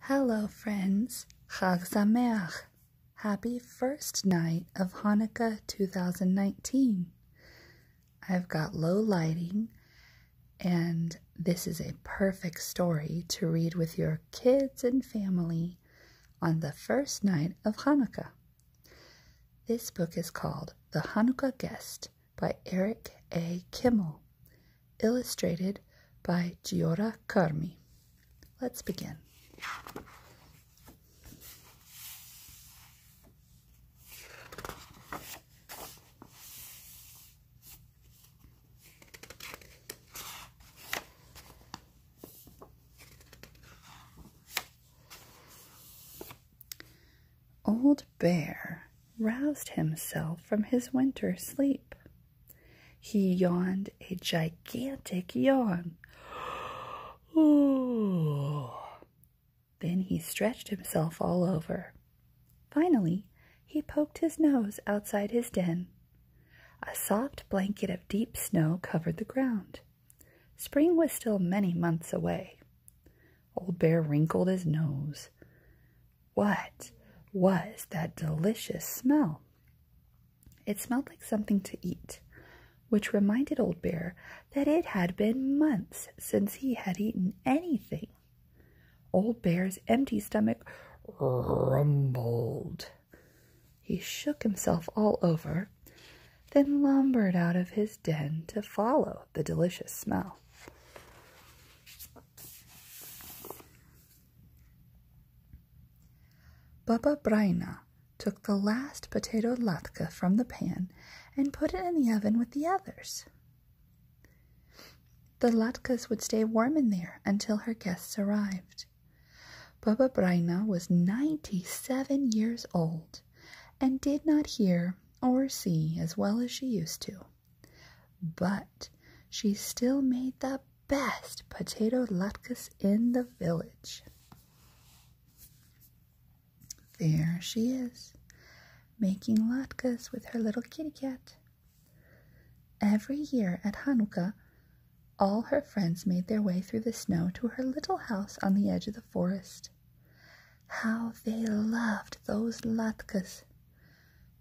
Hello friends, Chag Sameach! Happy first night of Hanukkah 2019. I've got low lighting, and this is a perfect story to read with your kids and family on the first night of Hanukkah. This book is called The Hanukkah Guest by Eric A. Kimmel illustrated by Giora Carmi. Let's begin. Old Bear roused himself from his winter sleep. He yawned a gigantic yawn. Ooh. Then he stretched himself all over. Finally, he poked his nose outside his den. A soft blanket of deep snow covered the ground. Spring was still many months away. Old Bear wrinkled his nose. What was that delicious smell? It smelled like something to eat, which reminded Old Bear that it had been months since he had eaten anything. Old Bear's empty stomach rumbled. He shook himself all over, then lumbered out of his den to follow the delicious smell. Baba Brina took the last potato latke from the pan and put it in the oven with the others. The latkes would stay warm in there until her guests arrived. Baba Brina was 97 years old and did not hear or see as well as she used to. But she still made the best potato latkes in the village. There she is, making latkes with her little kitty cat. Every year at Hanukkah, all her friends made their way through the snow to her little house on the edge of the forest. How they loved those latkes!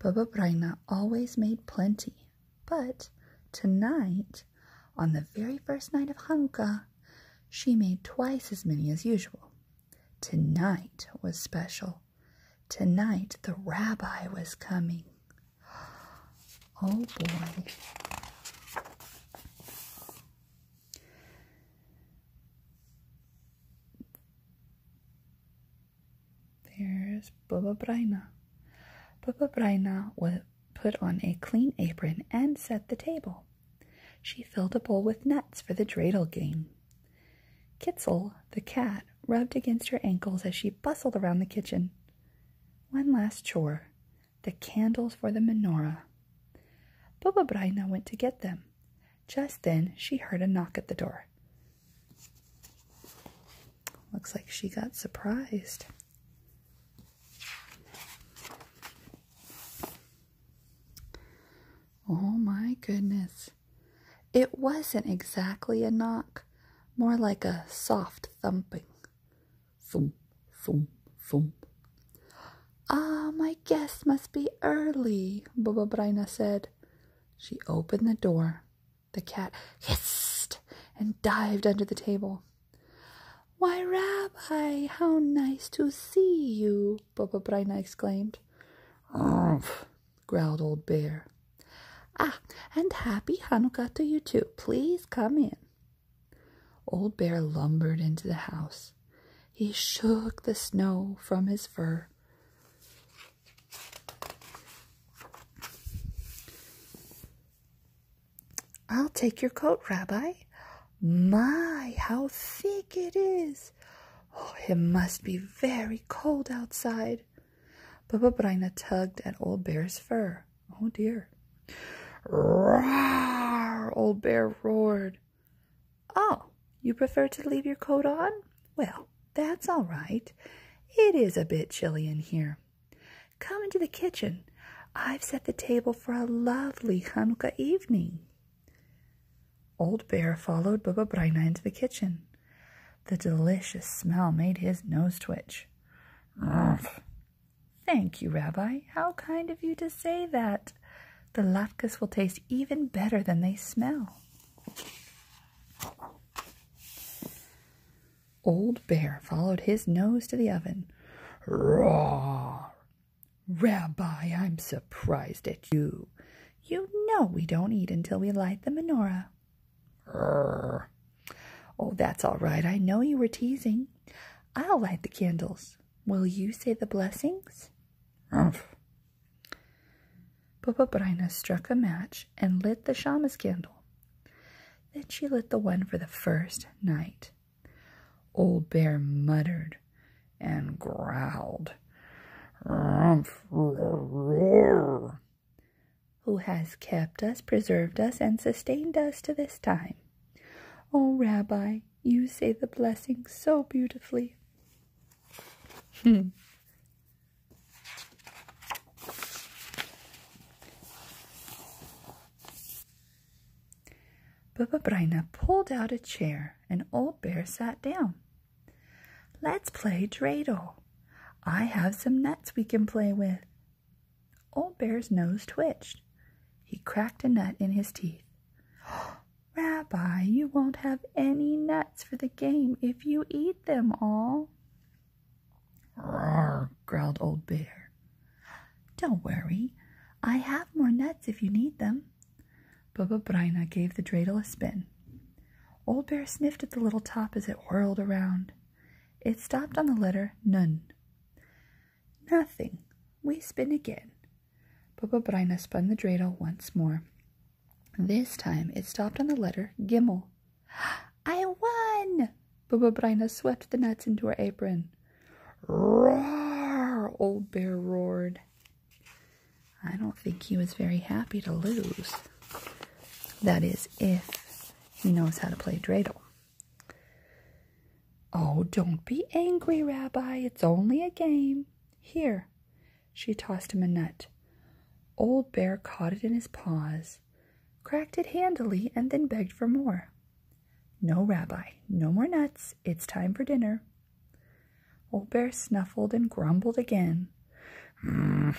Baba Braina always made plenty, but tonight, on the very first night of Hanukkah, she made twice as many as usual. Tonight was special. Tonight the rabbi was coming. Oh boy. There's Bubba Braina. Bubba Braina was put on a clean apron and set the table. She filled a bowl with nuts for the dreidel game. Kitzel, the cat, rubbed against her ankles as she bustled around the kitchen. One last chore the candles for the menorah. Bubba Braina went to get them, just then, she heard a knock at the door. Looks like she got surprised. Oh my goodness. It wasn't exactly a knock, more like a soft thumping. Thump, thump, thump. Ah, um, my guest must be early, Boba Braina said. She opened the door. The cat hissed and dived under the table. Why, Rabbi, how nice to see you, Baba Breina exclaimed. Oomph, growled old bear. Ah, and happy Hanukkah to you too. Please come in. Old bear lumbered into the house. He shook the snow from his fur. I'll take your coat, Rabbi. My, how thick it is! Oh, it must be very cold outside. Baba Braina tugged at Old Bear's fur. Oh dear. Roar! Old Bear roared. Oh, you prefer to leave your coat on? Well, that's all right. It is a bit chilly in here. Come into the kitchen. I've set the table for a lovely Hanukkah evening. Old Bear followed Baba Braina into the kitchen. The delicious smell made his nose twitch. Thank you, Rabbi. How kind of you to say that. The latkes will taste even better than they smell. Old Bear followed his nose to the oven. Roar! Rabbi, I'm surprised at you. You know we don't eat until we light the menorah. Urgh. Oh, that's all right. I know you were teasing. I'll light the candles. Will you say the blessings? Umph. Popobrina struck a match and lit the shamas candle. Then she lit the one for the first night. Old Bear muttered and growled. Who has kept us, preserved us, and sustained us to this time? Oh, Rabbi, you say the blessing so beautifully. Hmm. Bubba pulled out a chair and Old Bear sat down. Let's play dreidel. I have some nuts we can play with. Old Bear's nose twitched. He cracked a nut in his teeth. Rabbi, you won't have any nuts for the game if you eat them all. Roar, growled Old Bear. Don't worry, I have more nuts if you need them. Bubba Brina gave the dreidel a spin. Old Bear sniffed at the little top as it whirled around. It stopped on the letter Nun. Nothing. We spin again. Bubba Brina spun the dreidel once more. This time it stopped on the letter Gimel. I won! Brina swept the nuts into her apron. Roar! Old Bear roared. I don't think he was very happy to lose. That is, if he knows how to play dreidel. Oh, don't be angry, Rabbi. It's only a game. Here, she tossed him a nut. Old Bear caught it in his paws, cracked it handily, and then begged for more. No, Rabbi, no more nuts. It's time for dinner. Old Bear snuffled and grumbled again. Mm.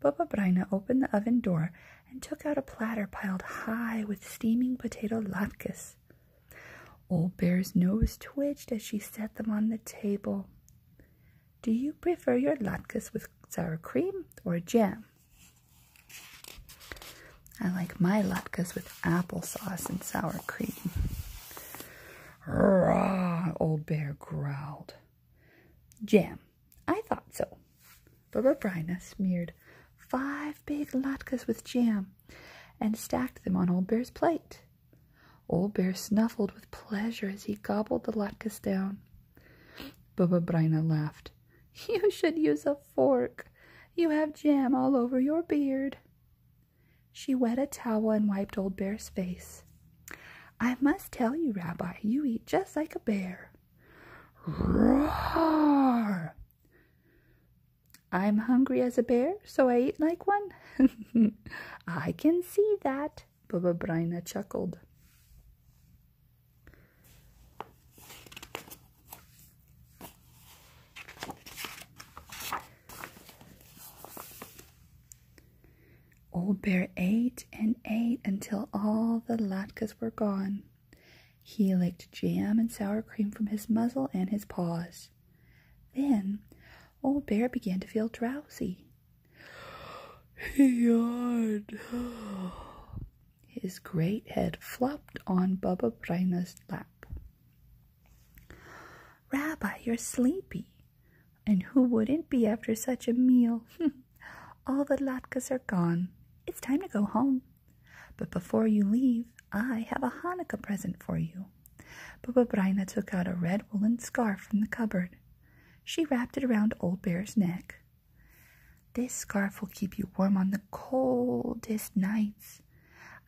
Baba Braina opened the oven door and took out a platter piled high with steaming potato latkes. Old Bear's nose twitched as she set them on the table. Do you prefer your latkes with sour cream or jam? I like my latkes with applesauce and sour cream. Rah, old bear growled. Jam. I thought so. Baba Bryna smeared five big latkes with jam and stacked them on old bear's plate. Old Bear snuffled with pleasure as he gobbled the latkes down. Baba Brina laughed. You should use a fork. You have jam all over your beard. She wet a towel and wiped Old Bear's face. I must tell you, Rabbi, you eat just like a bear. Roar! I'm hungry as a bear, so I eat like one. I can see that, Baba Braina chuckled. Old Bear ate and ate until all the latkes were gone. He licked jam and sour cream from his muzzle and his paws. Then Old Bear began to feel drowsy. He yawned. His great head flopped on Baba Braina's lap. Rabbi, you're sleepy. And who wouldn't be after such a meal? All the latkes are gone. It's time to go home. But before you leave, I have a Hanukkah present for you. Baba Braina took out a red woolen scarf from the cupboard. She wrapped it around Old Bear's neck. This scarf will keep you warm on the coldest nights.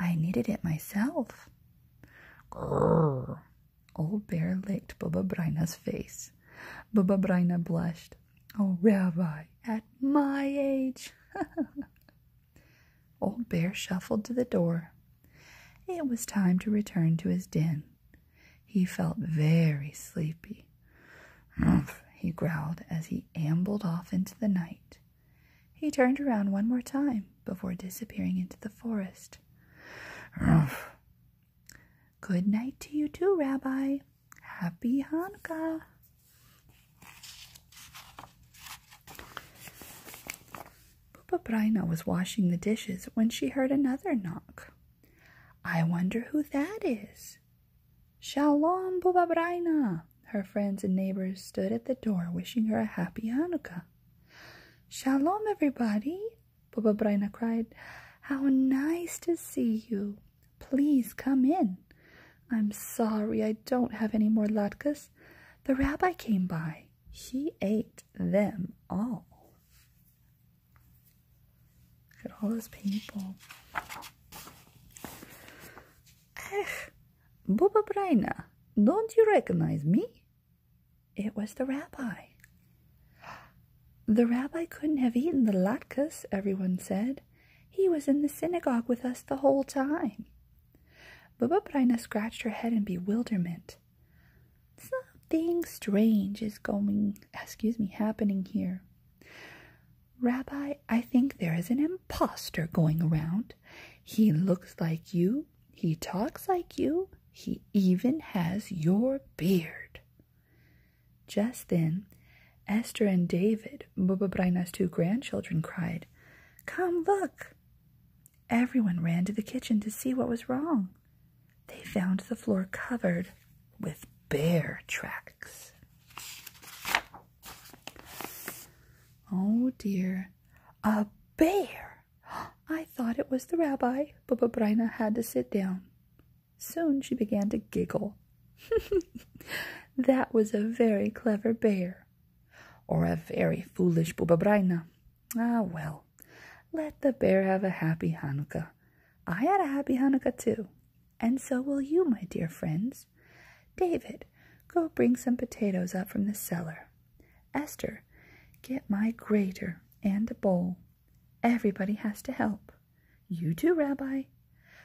I knitted it myself. Old Bear licked Baba Braina's face. Baba Braina blushed. Oh, Rabbi, at my age. Old Bear shuffled to the door. It was time to return to his den. He felt very sleepy. Humph, he growled as he ambled off into the night. He turned around one more time before disappearing into the forest. Humph. Good night to you too, Rabbi. Happy Hanukkah. Papabrina was washing the dishes when she heard another knock. I wonder who that is. Shalom, Bubabraina! Her friends and neighbors stood at the door wishing her a happy Hanukkah. Shalom, everybody! Bubabraina cried. How nice to see you! Please come in. I'm sorry I don't have any more latkes. The rabbi came by. She ate them all. Look at all those people. Ach, Baba Braina, don't you recognize me? It was the rabbi. The rabbi couldn't have eaten the latkes, everyone said. He was in the synagogue with us the whole time. Baba Braina scratched her head in bewilderment. Something strange is going, excuse me, happening here. Rabbi, I think there is an impostor going around. He looks like you, he talks like you, he even has your beard. Just then, Esther and David, Bubba Brina's two grandchildren, cried, Come look! Everyone ran to the kitchen to see what was wrong. They found the floor covered with bear tracks. Oh dear, a bear! I thought it was the rabbi, but Brina had to sit down. Soon she began to giggle. that was a very clever bear, or a very foolish Brina. Ah, well, let the bear have a happy Hanukkah. I had a happy Hanukkah too, and so will you, my dear friends. David, go bring some potatoes up from the cellar. Esther, get my grater and a bowl. Everybody has to help. You too, Rabbi.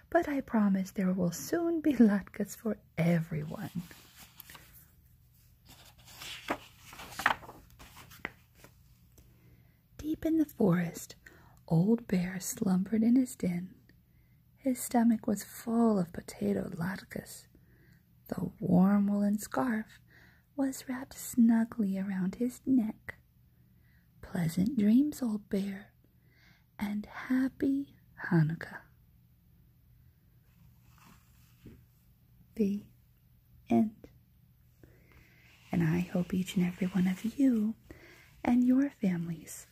But I promise there will soon be latkes for everyone. Deep in the forest, Old Bear slumbered in his den. His stomach was full of potato latkes. The warm woolen scarf was wrapped snugly around his neck. Pleasant dreams, old bear, and happy Hanukkah the end. And I hope each and every one of you and your families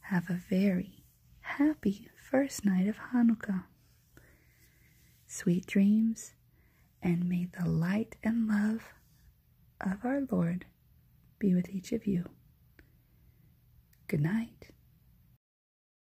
have a very happy first night of Hanukkah. Sweet dreams, and may the light and love of our Lord be with each of you. Good night.